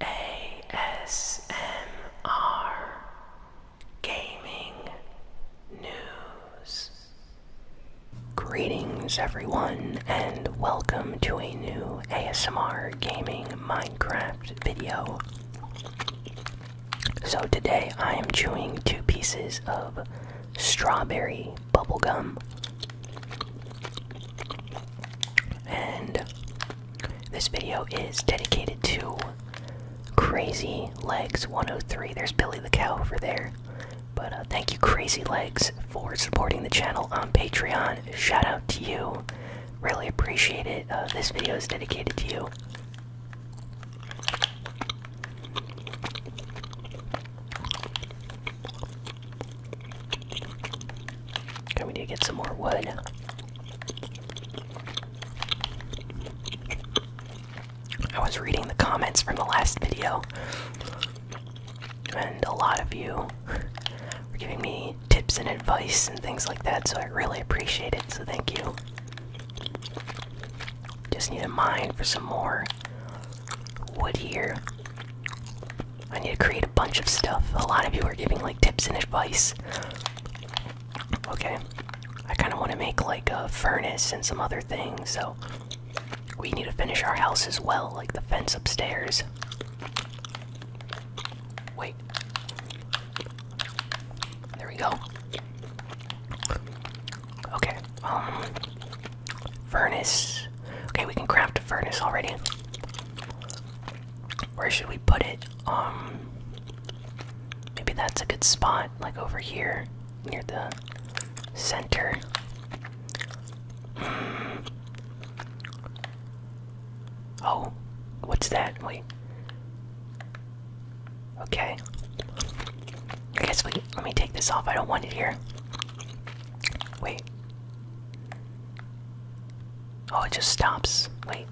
ASMR Gaming News. Greetings, everyone, and welcome to a new ASMR Gaming Minecraft video. So, today I am chewing two pieces of strawberry bubblegum. And this video is dedicated to Crazy Legs 103. There's Billy the Cow over there. But uh, thank you, Crazy Legs, for supporting the channel on Patreon. Shout out to you. Really appreciate it. Uh, this video is dedicated to you. Okay, we need to get some more wood. I was reading the comments from the last video, and a lot of you were giving me tips and advice and things like that, so I really appreciate it, so thank you. Just need to mine for some more wood here. I need to create a bunch of stuff. A lot of you are giving like tips and advice. Okay. I kind of want to make like a furnace and some other things, so we need to finish our house as well, like the fence upstairs. Wait. There we go. Okay. Um furnace. Okay, we can craft a furnace already. Where should we put it? Um maybe that's a good spot, like over here, near the center. Hmm. Oh, what's that? Wait. Okay. I guess we let me take this off. I don't want it here. Wait. Oh, it just stops. Wait.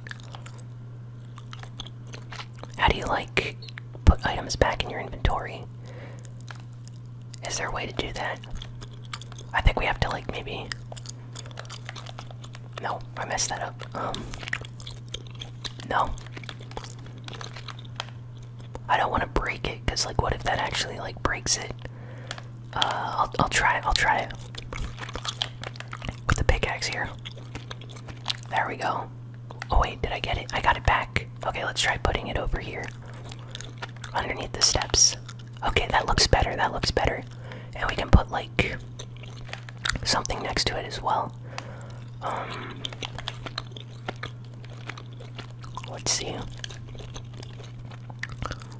How do you like put items back in your inventory? Is there a way to do that? I think we have to like maybe. No, I messed that up. Um. No. I don't want to break it because like what if that actually like breaks it? Uh, I'll, I'll try it. I'll try it with the pickaxe here. There we go. Oh wait, did I get it? I got it back. Okay, let's try putting it over here, underneath the steps. Okay, that looks better. That looks better. And we can put like something next to it as well. Um, let's see.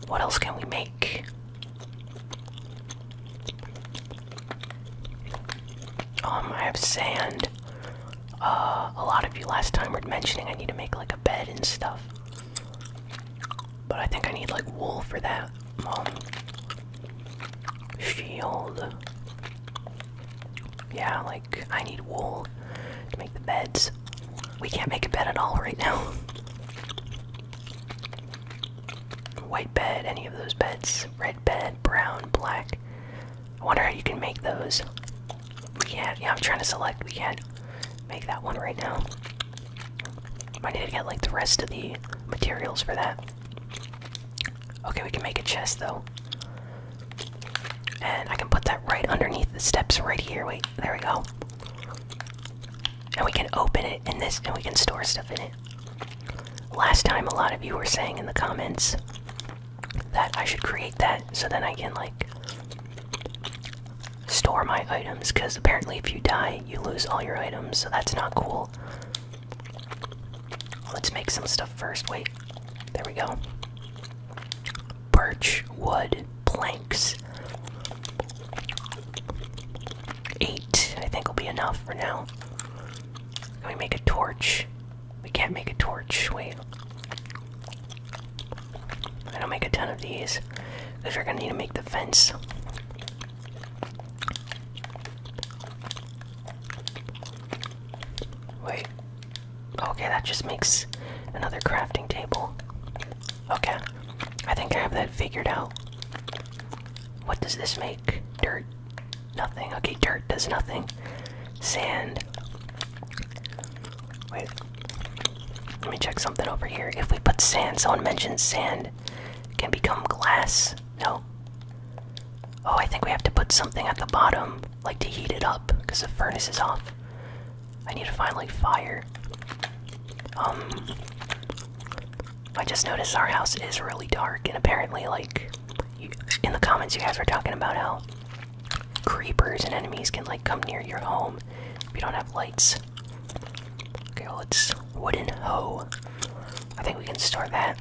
What else can we make? Um, I have sand. Uh, a lot of you last time were mentioning I need to make like a bed and stuff. But I think I need like wool for that. Um, Yeah, like I need wool to make the beds we can't make a bed at all right now. White bed, any of those beds, red bed, brown, black. I wonder how you can make those. We can't, yeah, I'm trying to select, we can't make that one right now. I need to get like the rest of the materials for that. Okay, we can make a chest though. And I can put that right underneath the steps right here. Wait, there we go and we can open it in this and we can store stuff in it last time a lot of you were saying in the comments that i should create that so then i can like store my items because apparently if you die you lose all your items so that's not cool let's make some stuff first wait there we go birch wood planks. Eight, I think, will be enough for now. Can we make a torch? We can't make a torch. Wait. I don't make a ton of these because we're gonna need to make the fence. Wait. Okay, that just makes another crafting table. Okay. I think I have that figured out. What does this make? Dirt. Nothing. Okay, dirt does nothing. Sand. Wait. Let me check something over here. If we put sand, someone mentioned sand can become glass. No. Oh, I think we have to put something at the bottom, like to heat it up, because the furnace is off. I need to finally fire. Um I just noticed our house is really dark and apparently like in the comments you guys were talking about how creepers and enemies can like come near your home if you don't have lights. Okay, well it's wooden hoe. I think we can store that.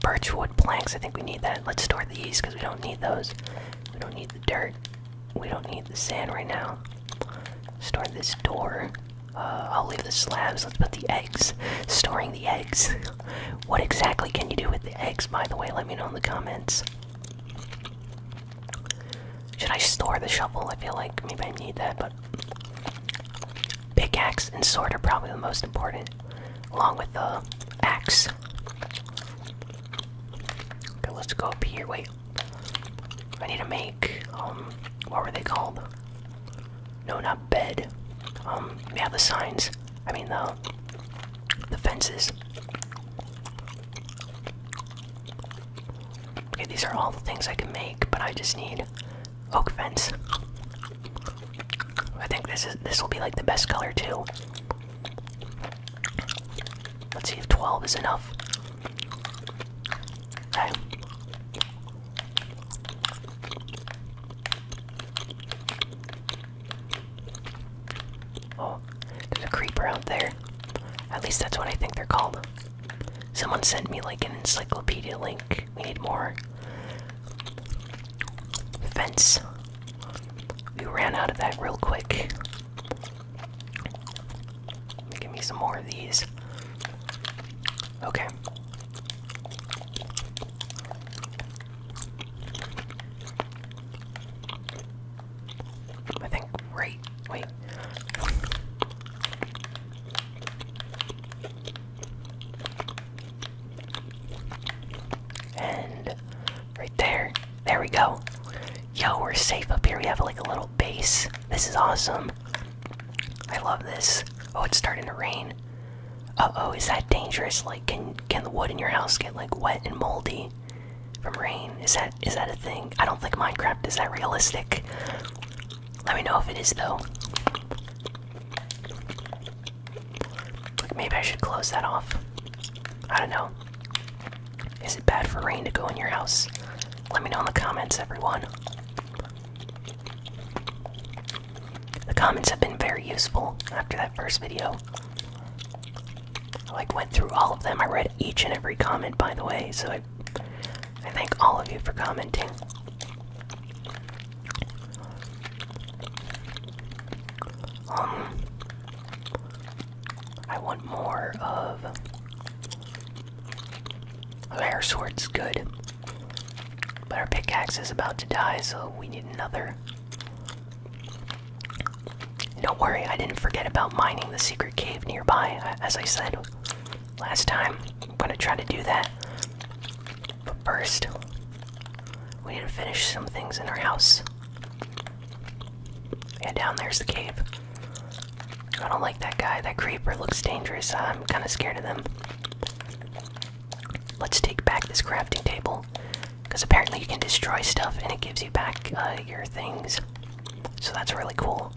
Birchwood planks, I think we need that. Let's store these because we don't need those. We don't need the dirt. We don't need the sand right now. Store this door. Uh, I'll leave the slabs. Let's put the eggs. Storing the eggs. what exactly can you do with the eggs, by the way? Let me know in the comments. Should I store the shovel? I feel like maybe I need that, but. Pickaxe and sword are probably the most important, along with the axe. Okay, let's go up here. Wait, I need to make, um, what were they called? No, not bed. Um, yeah, the signs. I mean, the, the fences. Okay, these are all the things I can make, but I just need oak fence. I think this is this will be like the best color too. Let's see if 12 is enough. Okay. Oh, there's a creeper out there. At least that's what I think they're called. Someone sent me like an encyclopedia link. We need more. Fence. We ran out of that real quick. Give me some more of these. Okay. I think right. Wait. And right there. There we go. Yo, we're safe up here. We have like a little base. This is awesome. I love this. Oh, it's starting to rain. Uh-oh, is that dangerous? Like can can the wood in your house get like wet and moldy from rain? Is that is that a thing? I don't think Minecraft is that realistic. Let me know if it is though. maybe I should close that off. I don't know. Is it bad for rain to go in your house? Let me know in the comments, everyone. The comments have been very useful after that first video. I went through all of them. I read each and every comment, by the way, so I I thank all of you for commenting. Um, I want more of. Our sword's good. But our pickaxe is about to die, so we need another. Don't worry, I didn't forget about mining the secret cave nearby. As I said last time, I'm gonna try to do that. But first, we need to finish some things in our house. Yeah, down there's the cave. I don't like that guy. That creeper looks dangerous. I'm kind of scared of them. Let's take back this crafting table. Because apparently you can destroy stuff and it gives you back uh, your things. So that's really cool.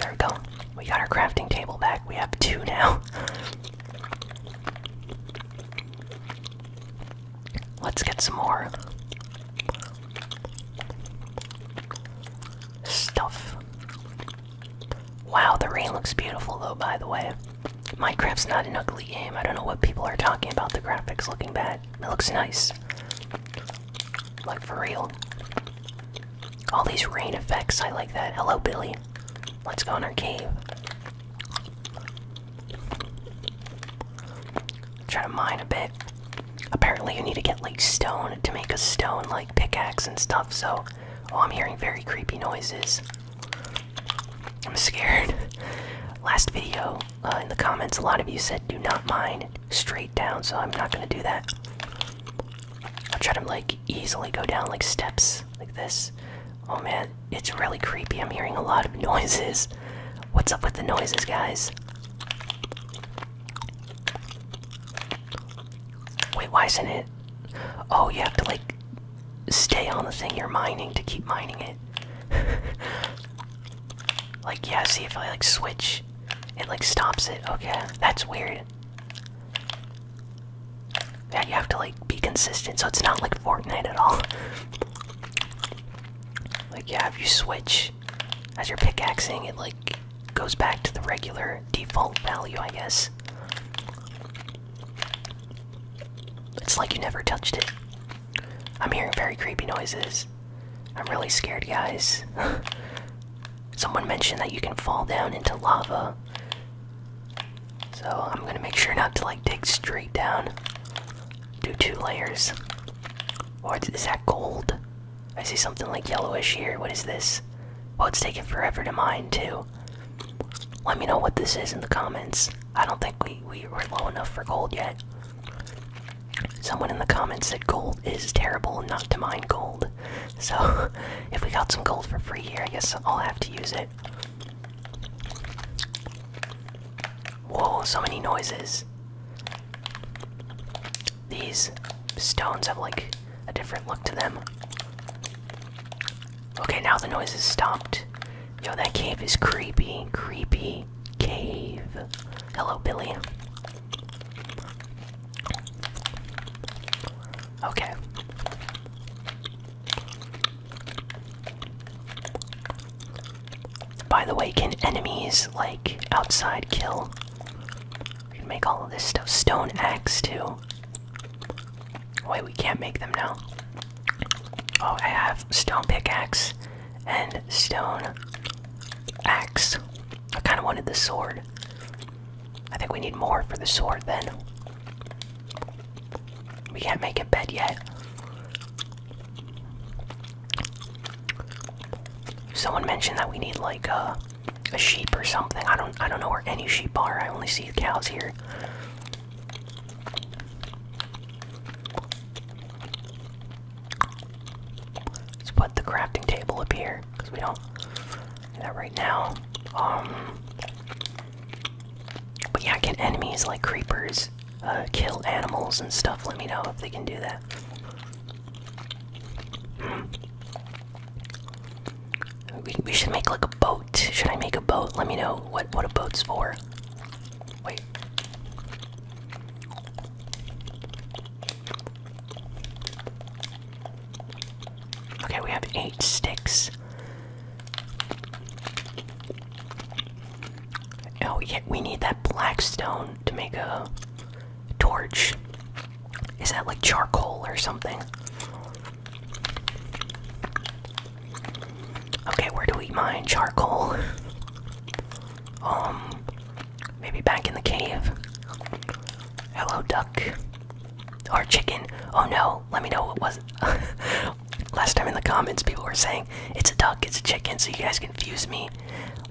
There we go. We got our crafting table back. We have two now. Let's get some more stuff. Wow, the rain looks beautiful though, by the way. Minecraft's not an ugly game. I don't know what people are talking about the graphics looking bad. It looks nice. Like, for real. All these rain effects, I like that. Hello, Billy. Let's go in our cave. Try to mine a bit. Apparently, you need to get like stone to make a stone like pickaxe and stuff. So, oh, I'm hearing very creepy noises. I'm scared. Last video uh, in the comments, a lot of you said do not mine straight down, so I'm not gonna do that. I'll try to like easily go down like steps like this. Oh man, it's really creepy. I'm hearing a lot of noises. What's up with the noises, guys? Wait, why isn't it? Oh, you have to like stay on the thing you're mining to keep mining it. like, yeah, see if I like switch, it like stops it. Okay, that's weird. Yeah, you have to like be consistent, so it's not like Fortnite at all. Like yeah, if you switch as you're pickaxing, it like goes back to the regular default value, I guess. It's like you never touched it. I'm hearing very creepy noises. I'm really scared, guys. Someone mentioned that you can fall down into lava. So I'm gonna make sure not to like dig straight down. Do two layers. Or is that gold? I see something like yellowish here. What is this? Well, it's taking forever to mine, too. Let me know what this is in the comments. I don't think we, we were low enough for gold yet. Someone in the comments said gold is terrible and not to mine gold. So, if we got some gold for free here, I guess I'll have to use it. Whoa, so many noises these. stones have like a different look to them. Okay, now the noise has stopped. Yo, that cave is creepy. Creepy cave. Hello, Billy. Okay. By the way, can enemies like outside kill? We can make all of this stuff. Stone axe too. Wait, we can't make them now. Oh, I have stone pickaxe and stone axe. I kind of wanted the sword. I think we need more for the sword then. We can't make a bed yet. Someone mentioned that we need like a, uh, a sheep or something. I don't I don't know where any sheep are. I only see cows here. Let's put the crafting table up here because we don't do that right now. Um, but yeah, get enemies like creepers uh, kill animals and stuff. Let me know if they can do that. We, we should make like a boat. Should I make a boat? Let me know what what a boat's for. Wait. Okay, we have eight sticks. Oh, yeah, we need that black stone to make a torch. Is that like charcoal or something? Okay, where do we mine charcoal? Um, maybe back in the cave. Hello, duck. Or chicken. Oh no, let me know what was Last time in the comments, people were saying it's a duck, it's a chicken, so you guys confuse me.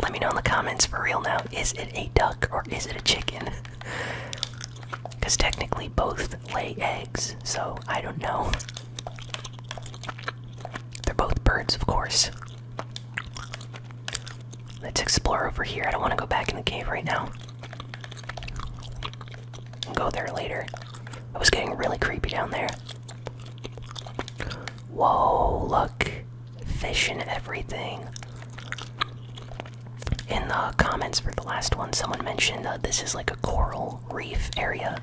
Let me know in the comments for real now is it a duck or is it a chicken? Because technically both lay eggs, so I don't know. They're both birds, of course. Let's explore over here. I don't want to go back in the cave right now. go there later. It was getting really creepy down there. Whoa, look! Fish and everything. In the comments for the last one, someone mentioned uh, this is like a coral reef area.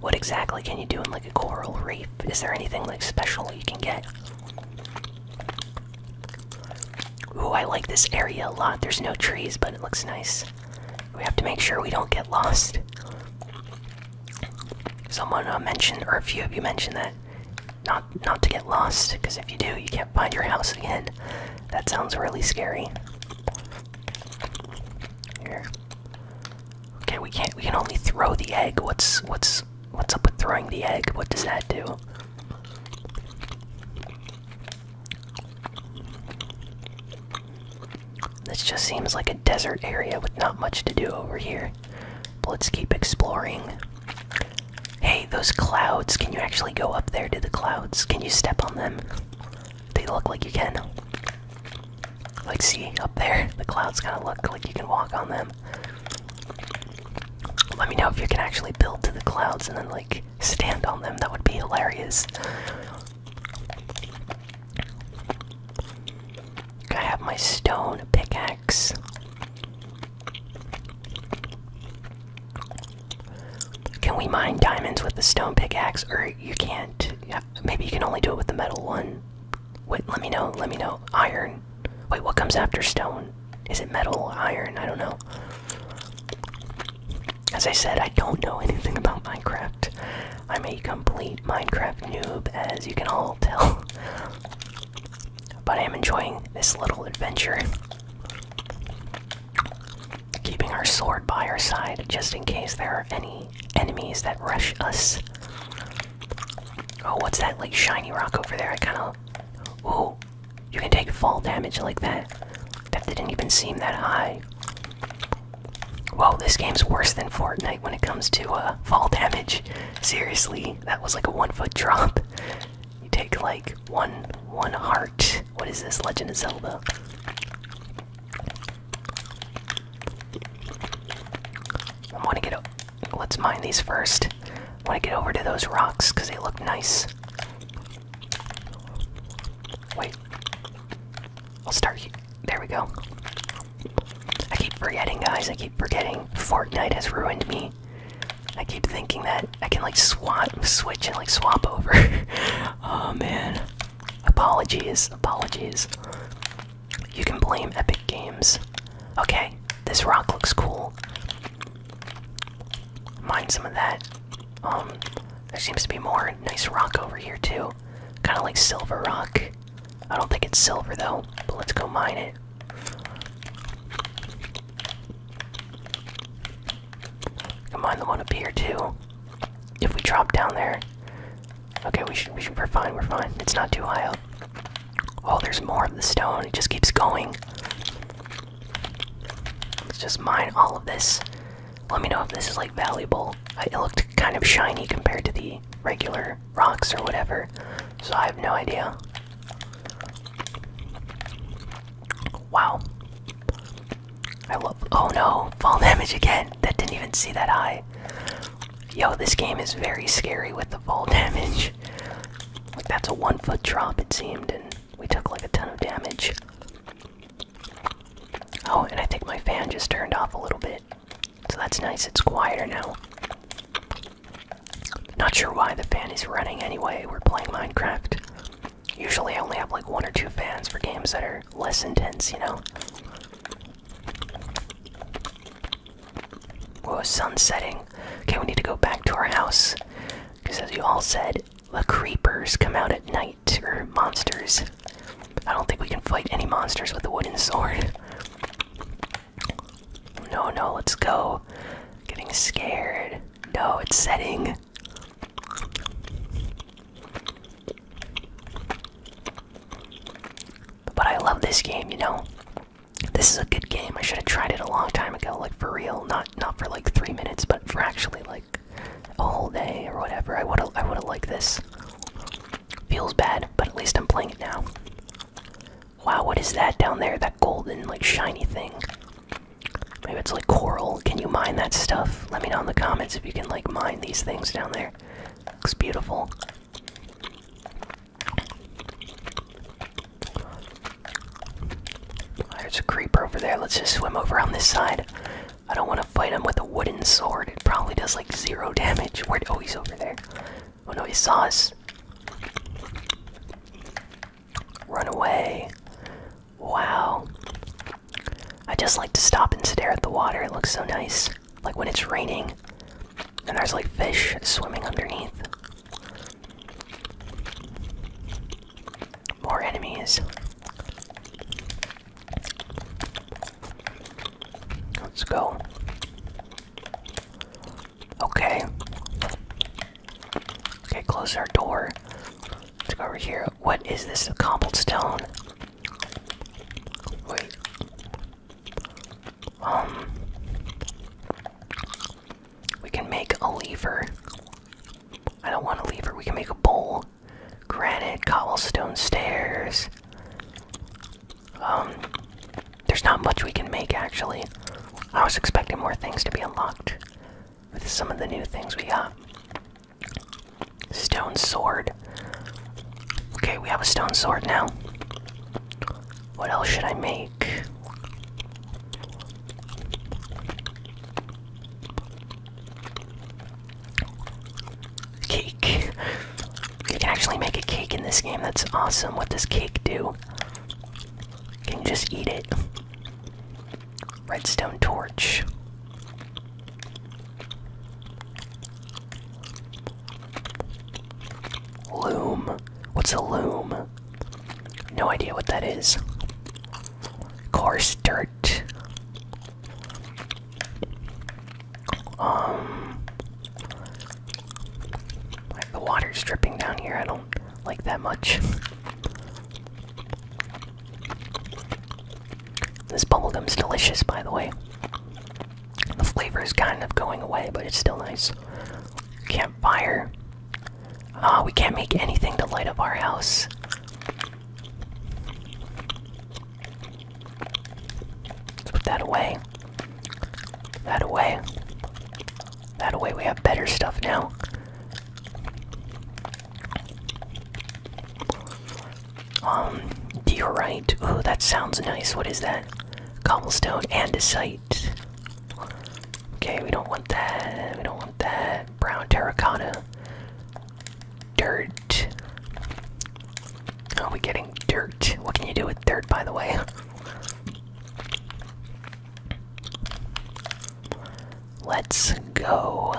What exactly can you do in like a coral reef? Is there anything like special you can get? Ooh, I like this area a lot. There's no trees, but it looks nice. We have to make sure we don't get lost. Someone uh, mentioned, or a few of you mentioned that not not to get lost, because if you do, you can't find your house again. That sounds really scary. Here. Okay, we can't. We can only throw the egg. What's what's what's up with throwing the egg? What does that do? This just seems like a desert area with not much to do over here. But let's keep exploring. Hey, those clouds, can you actually go up there to the clouds? Can you step on them? They look like you can. Let's see, up there, the clouds kind of look like you can walk on them. Let me know if you can actually build to the clouds and then, like, stand on them. That would be hilarious. I have my stone pickaxe. Can we mine diamonds with the stone pickaxe, or you can't? maybe you can only do it with the metal one. Wait, let me know. Let me know. Iron. Wait, what comes after stone? Is it metal or iron? I don't know. As I said, I don't know anything about Minecraft. I'm a complete Minecraft noob, as you can all tell. but I am enjoying this little adventure. Keeping our sword by our side just in case there are any enemies that rush us. Oh, what's that like shiny rock over there? I kind of. Ooh, you can take fall damage like that. That didn't even seem that high. Whoa, this game's worse than Fortnite when it comes to uh, fall damage. Seriously, that was like a one foot drop. You take like one one heart. What is this, Legend of Zelda? I want to get. Let's mine these first. I want to get over to those rocks because they look nice. Wait. I'll start. There we go. I keep forgetting, guys. I keep forgetting. Fortnite has ruined me. I keep thinking that I can like swap, switch, and like swap over. oh man. Apologies. Apologies. You can blame Epic Games. Okay, this rock looks cool. Mine some of that. Um, there seems to be more nice rock over here too. Kind of like silver rock. I don't think it's silver though, but let's go mine it. Come the one up here too. If we drop down there, okay, we should, we should, we're fine, we're fine. It's not too high up. Oh, there's more of the stone. It just keeps going. Let's just mine all of this. Let me know if this is like valuable. It looked kind of shiny compared to the regular rocks or whatever, so I have no idea. Wow. I love. Oh no! Fall damage again! That didn't even see that eye. Yo, this game is very scary with the fall damage. Like, that's a one foot drop, it seemed, and we took like a ton of damage. Oh, and I think my fan just turned off a little bit. So that's nice, it's quieter now. Not sure why the fan is running anyway, we're playing Minecraft. Usually I only have like one or two fans for games that are less intense, you know? Whoa, sun setting. Okay, we need to go back to our house. Because as you all said, the creepers come out at night, or monsters, I don't think we can fight any monsters with a wooden sword. No, no, let's go. Getting scared. No, it's setting. But I love this game, you know. This is a good game. I should have tried it a long time ago, like for real. Not not for like three minutes, but for actually like a whole day or whatever. I would I would have liked this. Feels bad, but at least I'm playing it now. Wow, what is that down there? That golden, like, shiny thing. Maybe it's like coral. Can you mine that stuff? Let me know in the comments if you can, like, mine these things down there. Looks beautiful. There's a creeper over there. Let's just swim over on this side. I don't want to fight him with a wooden sword. It probably does like zero damage. Where? Oh, he's over there. Oh no, he saw us. Run away. Wow. I just like to stop and stare at the water. It looks so nice. Like when it's raining and there's like fish swimming underneath. More enemies. Let's go. Okay. Okay, close our door. Let's go over here. What is this? A cobblestone? Wait. Um. We can make a lever. I don't want a lever. We can make a bowl granite cobblestone stairs. Um, there's not much we can make actually. I was expecting more things to be unlocked with some of the new things we got. Stone sword. Okay, we have a stone sword now. What else should I make? Cake. You can actually make a cake in this game. That's awesome. What does cake do? Can you just eat it? Redstone torch. Loom. What's a loom? No idea what that is. Coarse dirt. Um, the water's dripping down here. I don't like that much. this bubblegum's delicious, by the way. The flavor is kind of going away, but it's still nice. Campfire. Uh, we can't make anything to light up our house. Let's put that away. That away. That away. We have better stuff now. Um, diorite. Ooh, that sounds nice. What is that? Cobblestone andesite. Okay, we don't want that. We don't want that. Brown terracotta dirt. Are we getting dirt? What can you do with dirt, by the way? Let's go.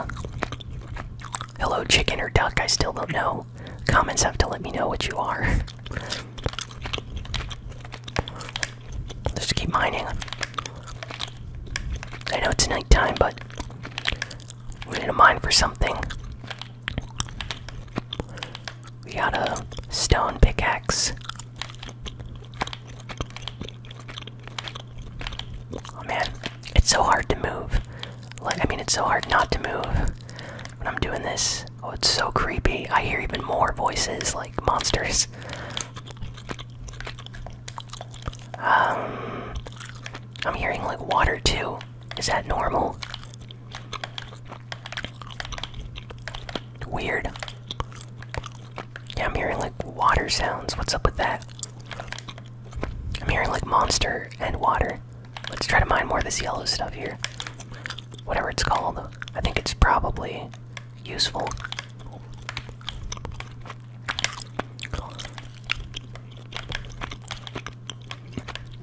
Hello, chicken or duck? I still don't know. Comments have to let me know what you are. Just keep mining. I know it's nighttime, but we need a mine for something. We got a stone pickaxe. Oh man, it's so hard to move. Like, I mean, it's so hard not to move when I'm doing this. Oh, it's so creepy. I hear even more voices like monsters. Um, I'm hearing like water too. Is that normal? Weird. Yeah, I'm hearing like water sounds. What's up with that? I'm hearing like monster and water. Let's try to mine more of this yellow stuff here. Whatever it's called. I think it's probably useful.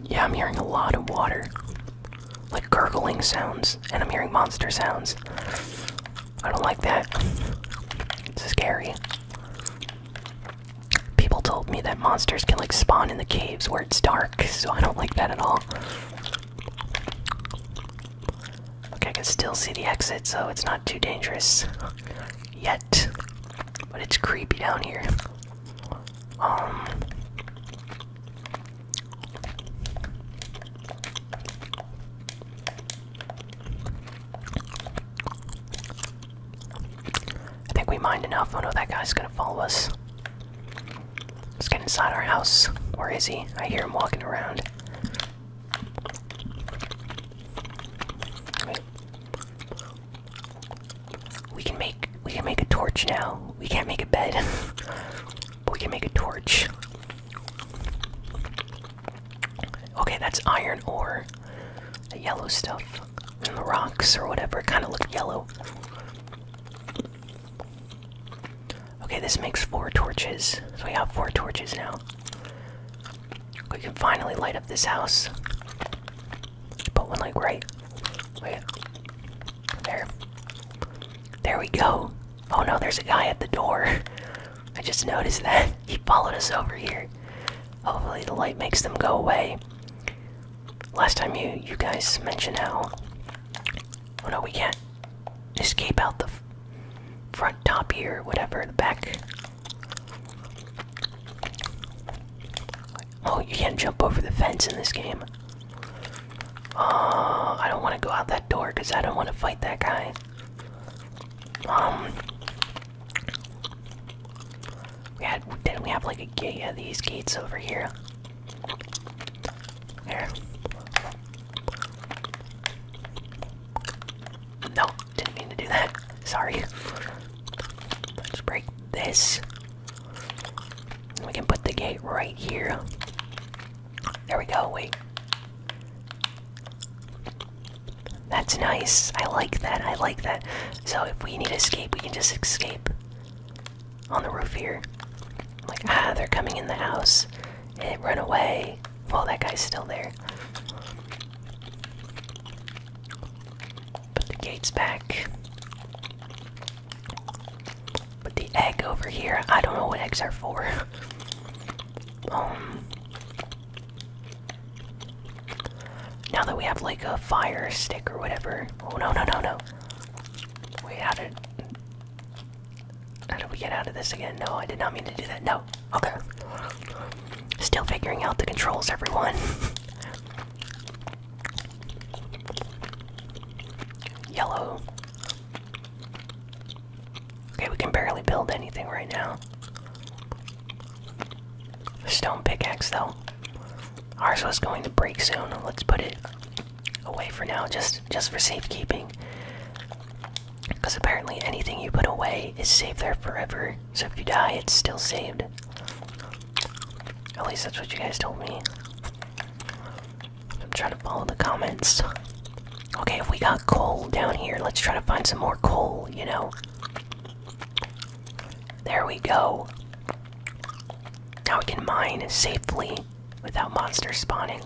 Yeah, I'm hearing a lot of water. Like gurgling sounds, and I'm hearing monster sounds. I don't like that. It's scary. People told me that monsters can like spawn in the caves where it's dark, so I don't like that at all. Okay, I can still see the exit, so it's not too dangerous yet, but it's creepy down here. Um, I think we mined enough. Oh no, that guy's gonna follow us. Let's get inside our house. Where is he? I hear him walking around. We can make we can make a torch now. We can't make a bed. but we can make a torch. Okay, that's iron ore. The yellow stuff. in the rocks or whatever kind of look yellow. Okay, this makes four torches. So we have four torches now. We can finally light up this house. Put one like right. Wait. There. There we go. Oh no, there's a guy at the door. I just noticed that. He followed us over here. Hopefully the light makes them go away. Last time you you guys mentioned how Oh no, we can't escape out the front top here, whatever, the back Oh, you can't jump over the fence in this game. Uh, I don't want to go out that door because I don't want to fight that guy. Um, we didn't we have like a gate these gates over here? There. No, didn't mean to do that. Sorry. Let's break this. We can put the gate right here. There we go. Wait. That's nice. I like that. I like that. So if we need to escape, we can just escape on the roof here. Like, ah, they're coming in the house. And run away. while that guy's still there. Put the gates back. Put the egg over here. I don't know what eggs are for. um. Now that we have like a fire stick or whatever. Oh no no no no. Wait, how did how do we get out of this again? No, I did not mean to do that. No. Okay. Still figuring out the controls, everyone. Yellow. Okay, we can barely build anything right now. Stone pickaxe, though. Ours was going to break soon. Let's put it away for now, just just for safekeeping. Because apparently, anything you put away is safe there forever. So if you die, it's still saved. At least that's what you guys told me. I'm trying to follow the comments. Okay, if we got coal down here, let's try to find some more coal, you know? There we go. Now we can mine safely without monsters spawning.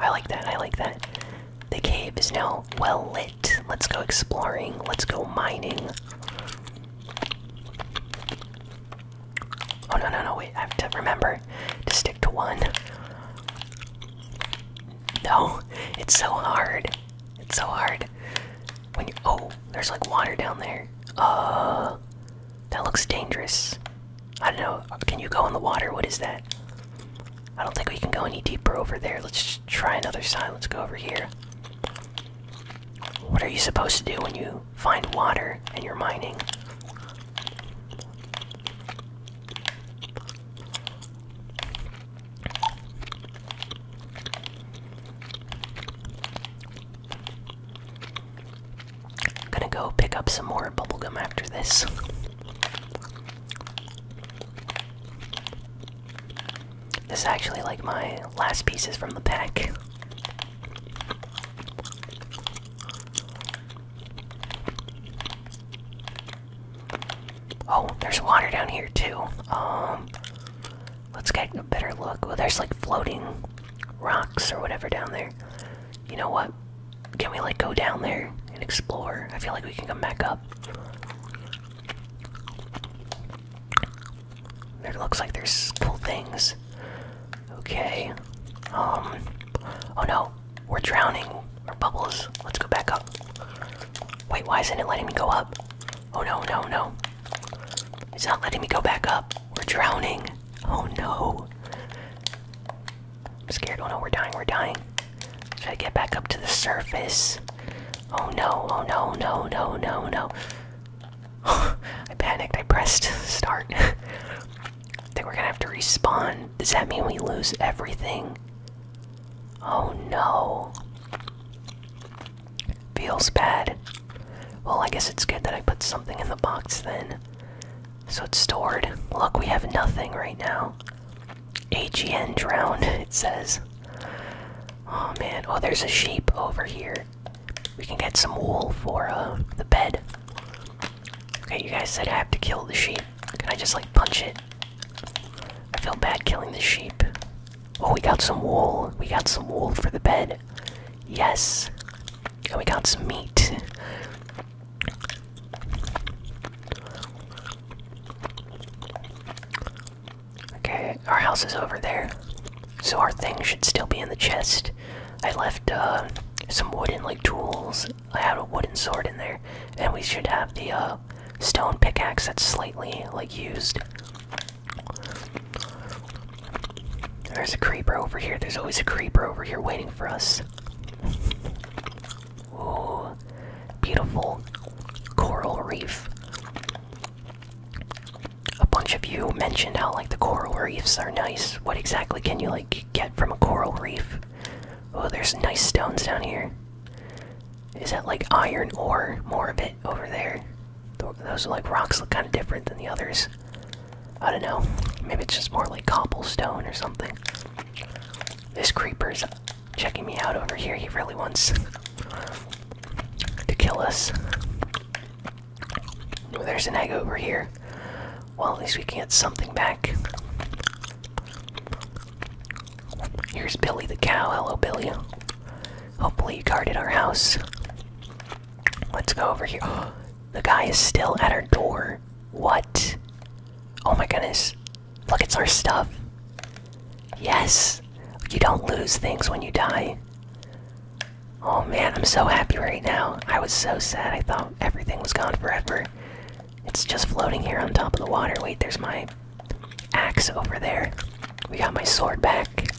I like that, I like that. The cave is now well lit. Let's go exploring, let's go mining. Oh no, no, no, wait, I have to remember to stick to one. No, it's so hard. It's so hard. When you. Oh, there's like water down there. Uh. That looks dangerous. I don't know. Can you go in the water? What is that? I don't think we can go any deeper over there. Let's try another side. Let's go over here. What are you supposed to do when you find water and you're mining? I'm gonna go pick up some more bubblegum after this. This is actually like my last pieces from the pack. Oh, there's water down here too. Um, let's get a better look. Well, there's like floating rocks or whatever down there you know what? Can we like go down there and explore? I feel like we can come back up. There looks like there's cool things. Okay. Um. Oh no, we're drowning. Our bubbles. Let's go back up. Wait, why isn't it letting me go up? Oh no, no, no. It's not letting me go back up. We're drowning. Oh no. I'm scared. Oh no, we're dying, we're dying. Should I get back up to the surface. Oh no, oh no, no, no, no, no. I panicked, I pressed start. I think we're gonna have to respawn. Does that mean we lose everything? Oh no. Feels bad. Well, I guess it's good that I put something in the box then. So it's stored. Look, we have nothing right now. AGN drowned. it says. Oh man, oh there's a sheep over here. We can get some wool for uh, the bed. Okay, you guys said I have to kill the sheep. Can I just like punch it? I feel bad killing the sheep. Oh, we got some wool. We got some wool for the bed. Yes. And we got some meat. Okay, our house is over there. So our thing should still be in the chest. I left uh, some wooden like tools. I had a wooden sword in there, and we should have the uh, stone pickaxe that's slightly like used. There's a creeper over here. There's always a creeper over here waiting for us. Ooh, beautiful coral reef. A bunch of you mentioned how like the coral reefs are nice. What exactly can you like get from a coral reef? Oh, there's nice stones down here. Is that like iron ore? More of it over there. Those like rocks look kind of different than the others. I don't know. Maybe it's just more like cobblestone or something. This creeper is checking me out over here. He really wants to kill us. there's an egg over here. Well, at least we can get something back. Here's Billy the cow. Hello, Billy. Hopefully, you guarded our house. Let's go over here. the guy is still at our door. What? Oh my goodness. Look, it's our stuff. Yes! You don't lose things when you die. Oh man, I'm so happy right now. I was so sad. I thought everything was gone forever. It's just floating here on top of the water. Wait, there's my axe over there. We got my sword back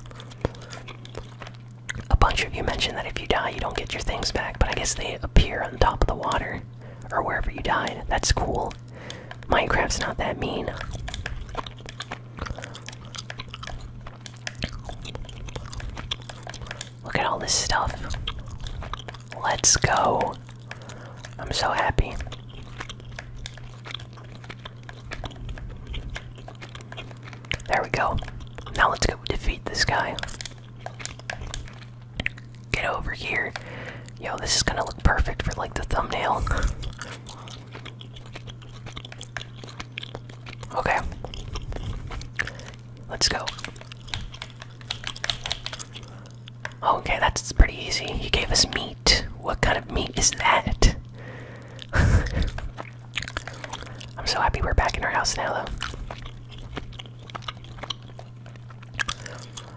a bunch of you mentioned that if you die, you don't get your things back, but I guess they appear on top of the water or wherever you died. That's cool. Minecraft's not that mean. Look at all this stuff. Let's go. I'm so happy. There we go. Now let's go defeat this guy. Get over here. Yo, this is gonna look perfect for like the thumbnail. okay. Let's go. Okay, that's pretty easy. He gave us meat. What kind of meat is that? I'm so happy we're back in our house now, though.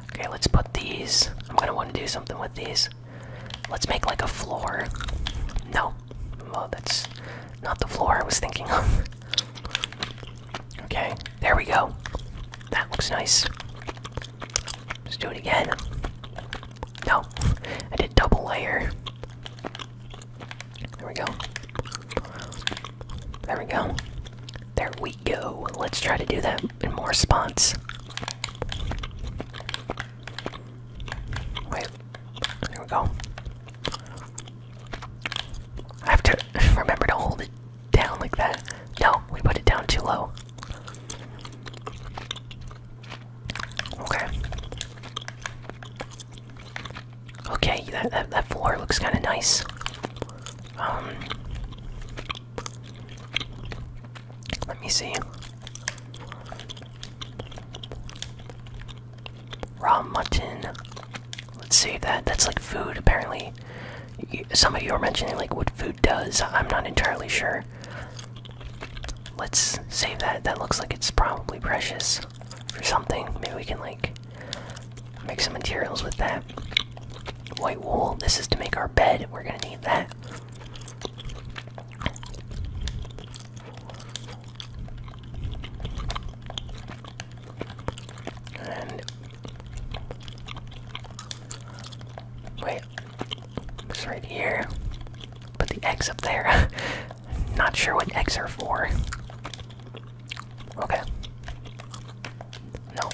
Okay, let's put these. I'm gonna want to do something with these. Let's make like a floor. No, oh, that's not the floor I was thinking of. okay, there we go. That looks nice. Let's do it again. No, I did double layer. There we go. There we go. There we go. Let's try to do that in more spots. Wait. There we go. I have to remember to hold it down like that. No, we put it down too low. Okay. Okay, that, that, that floor looks kind of nice. Um, let me see. Raw mutton. Let's save that. That's like food, apparently. some of you are mentioning like what food does. I'm not entirely sure. Let's save that. That looks like it's probably precious for something. Maybe we can like make some materials with that. White wool. This is to make our bed. We're gonna need that. And wait, it's right here. Put the eggs up there. Not sure what eggs are for. Okay. No.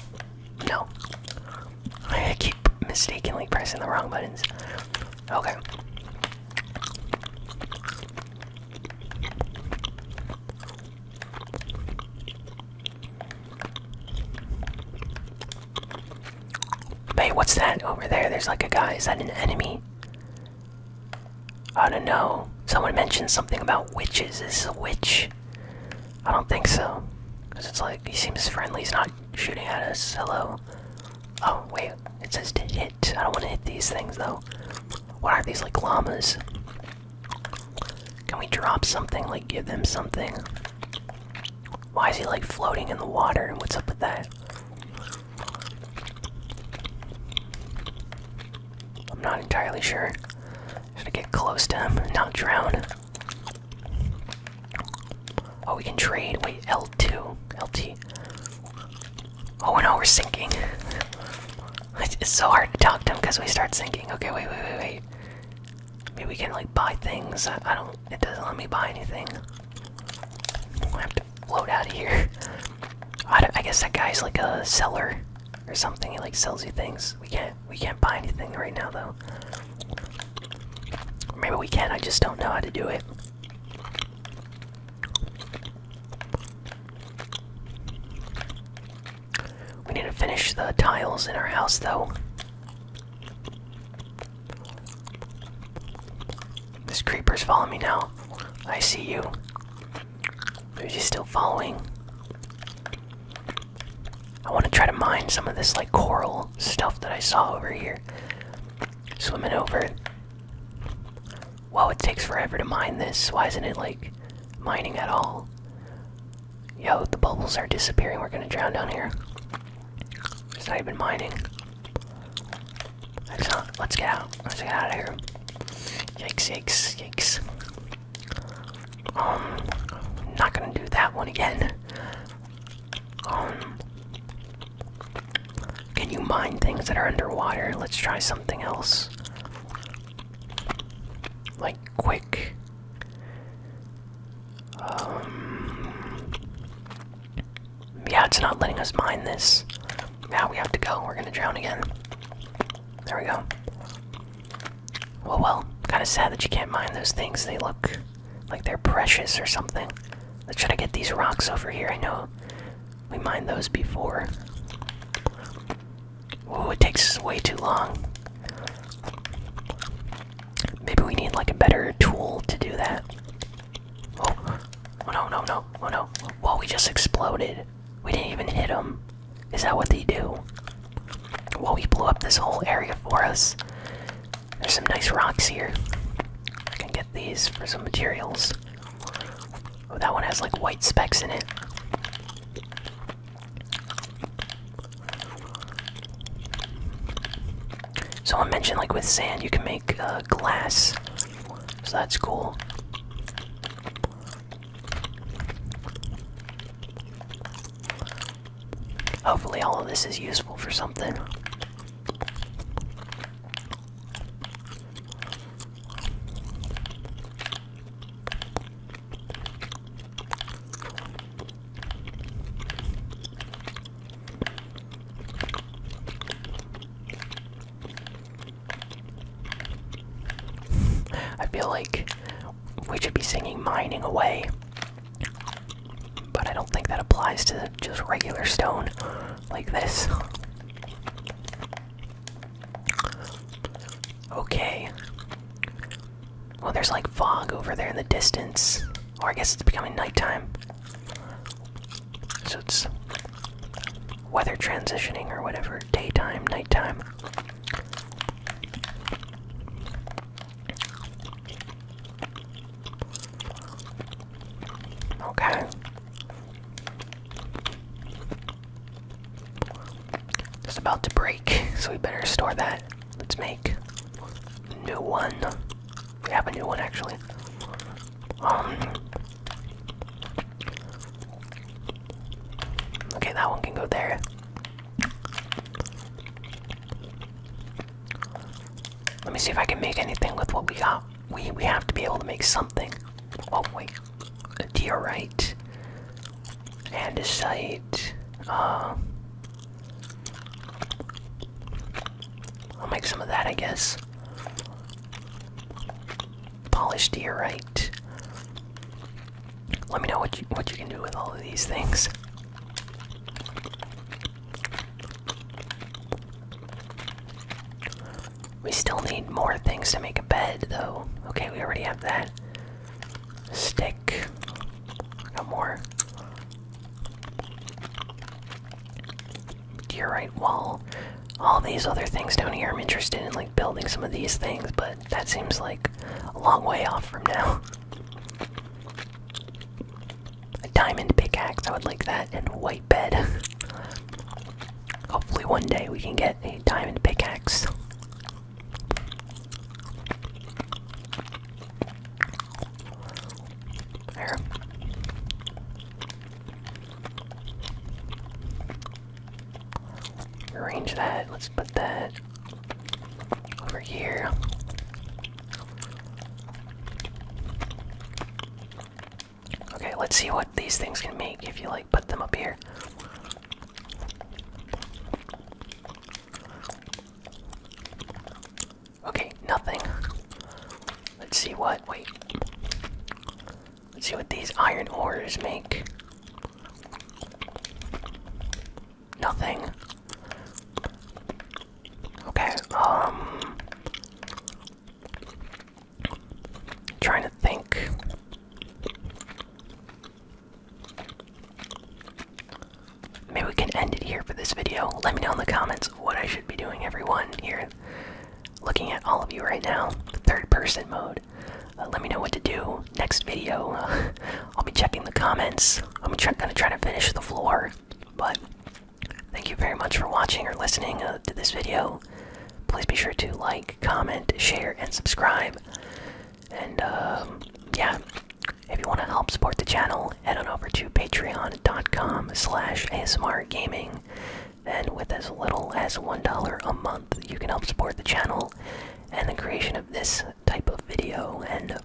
No. I keep mistakenly pressing the wrong buttons. Okay. Wait, what's that over there? There's like a guy. Is that an enemy? I don't know. Someone mentioned something about witches. Is a witch? I don't think so. Because it's like, he seems friendly. He's not shooting at us. Hello. Oh, wait. It says to hit. I don't want to hit these things, though. What are these, like, llamas? Can we drop something? Like, give them something? Why is he, like, floating in the water? And What's up with that? I'm not entirely sure. Should I get close to him not drown? Oh, we can trade. Wait, L2. LT. Oh no, we're sinking. it's so hard to talk to him because we start sinking. Okay, wait, wait, wait, wait. Maybe we can like buy things. I, don't. It doesn't let me buy anything. I have float out of here. I, I guess that guy's like a seller or something. He like sells you things. We can't we can't buy anything right now though. Maybe we can. I just don't know how to do it. We need to finish the tiles in our house though. This creeper's following me now. I see you. Maybe she's still following. I want to try to mine some of this like coral stuff that I saw over here. Swimming over. it. Whoa, it takes forever to mine this. Why isn't it like mining at all? Yo, the bubbles are disappearing. We're gonna drown down here. It's not even mining. Let's not. Let's get out. of here. Yikes! Yikes! Yikes! Um, I'm not gonna do that one again. Um, can you mine things that are underwater? Let's try something else. Like quick. Um, yeah, it's not letting us mine this. Now we have to go. We're gonna drown again. There we go. Well, well, kind of sad that you can't mine those things. They look like they're precious or something. Let's try to get these rocks over here. I know we mined those before. Oh, it takes way too long. Maybe we need like a better tool to do that. Oh, oh no, no, no, oh no. Well, we just exploded. We didn't even hit them. Is that what they do? Well, we blew up this whole area for us. There's some nice rocks here. I can get these for some materials. Oh, that one has like white specks in it. So I mentioned like with sand you can make uh, glass. So that's cool. Hopefully, all of this is useful for something. I feel like we should be singing mining away, but I don't think that applies to just regular stone like this. Okay. Well, there's like fog over there in the distance. Or I guess it's becoming nighttime. So it's weather transitioning or whatever, daytime, nighttime. Okay. It's about to break, so we better store that. Let's make a new one. We have a new one actually. Um, okay, that one can go there. Let me see if I can make anything with what we got. We we have to be able to make something. Oh wait, a diorite and a site. Um, I'll make some of that, I guess polished diorite. Let me know what you what you can do with all of these things. We still need more things to make a bed, though. Okay, we already have that. Stick. Got more right. wall, all these other things down here. I'm interested in like building some of these things, but that seems like a long way off from now. A diamond pickaxe, I would like that, and white bed. Hopefully, one day we can get a diamond pickaxe. There. Arrange that. Let's put that over here. Okay, let's see what these things can make if you like put them up here. Okay, nothing. Let's see what. Wait. Let's see what these iron ores make. Nothing. Okay, um. Trying to think. Maybe we can end it here for this video. Let me know in the comments what I should be doing, everyone, here looking at all of you right now, third person mode. Uh, let me know what to do next video. Uh, I'll be checking the comments. I'm gonna try to finish the floor, but thank you very much for watching or listening uh, to this video. Please be sure to like, comment, share, and subscribe. And um, yeah, if you want to help support the channel, head on over to patreon.com/asmrgaming and with as little as $1 a month, you can help support the channel and the creation of this type of video. And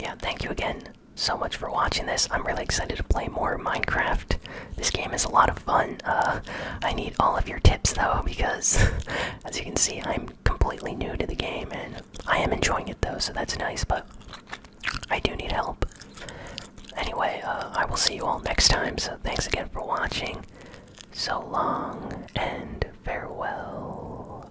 yeah, thank you again so much for watching this. I'm really excited to play more Minecraft. This game is a lot of fun. Uh, I need all of your tips though, because as you can see, I'm completely new to the game and I am enjoying it though, so that's nice, but I do need help. Anyway, uh, I will see you all next time, so thanks again for watching. So long and farewell.